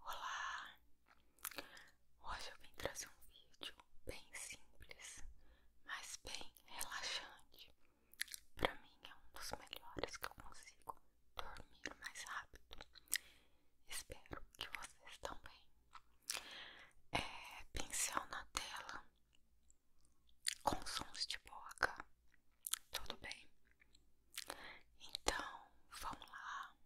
Olá! Hoje eu vim trazer um vídeo bem simples, mas bem relaxante. Para mim é um dos melhores que eu consigo dormir mais rápido. Espero que vocês também. É pincel na tela com sons de boca. Tudo bem? Então, vamos lá.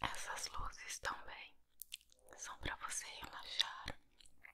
Essas luzes também são para você relaxar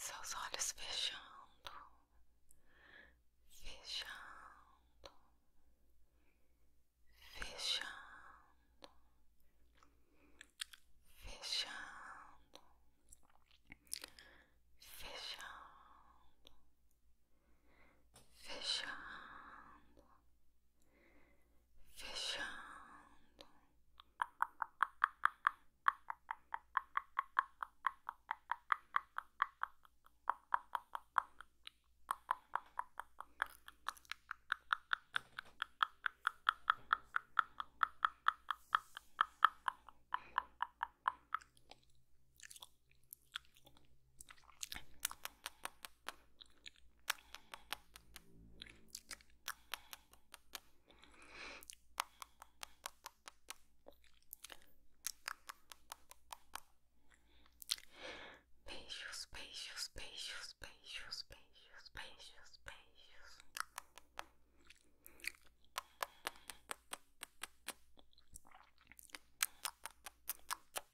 Seus olhos fechando, fechando, fechando, fechando, fechando fechando, fechando. Spacious, spacious, spacious, spacious, spacious, spacious, spacious.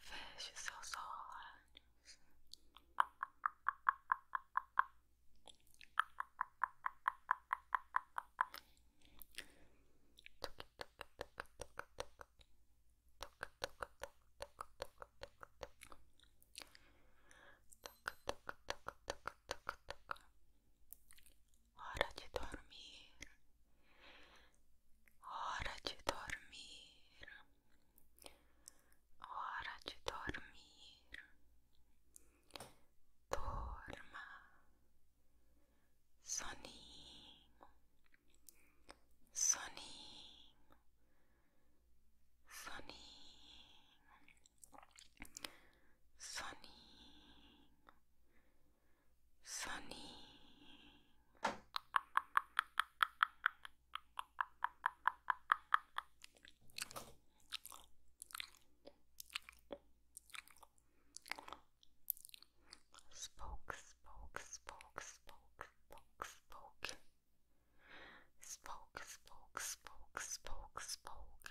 Feche seus olhos. Hora de dormir. Hora de dormir, hora de dormir. Dorma, soninho, soninho, soninho, soninho, soninho. Sunny. Spoke, spoke, spoke, spoke, spoke, spoke. Spoke, spoke, spoke, spoke, spoke. Spoke,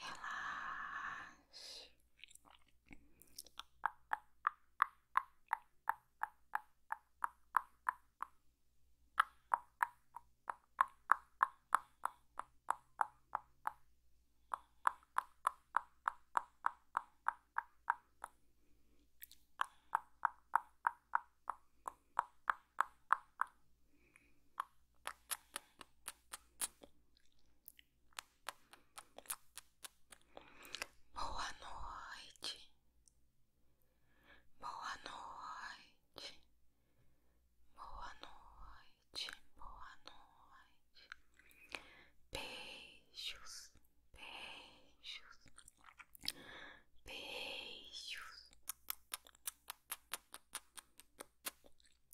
relaxe. Boa noite. Boa noite. Boa noite. Boa noite. Beijos. Beijos. Beijos.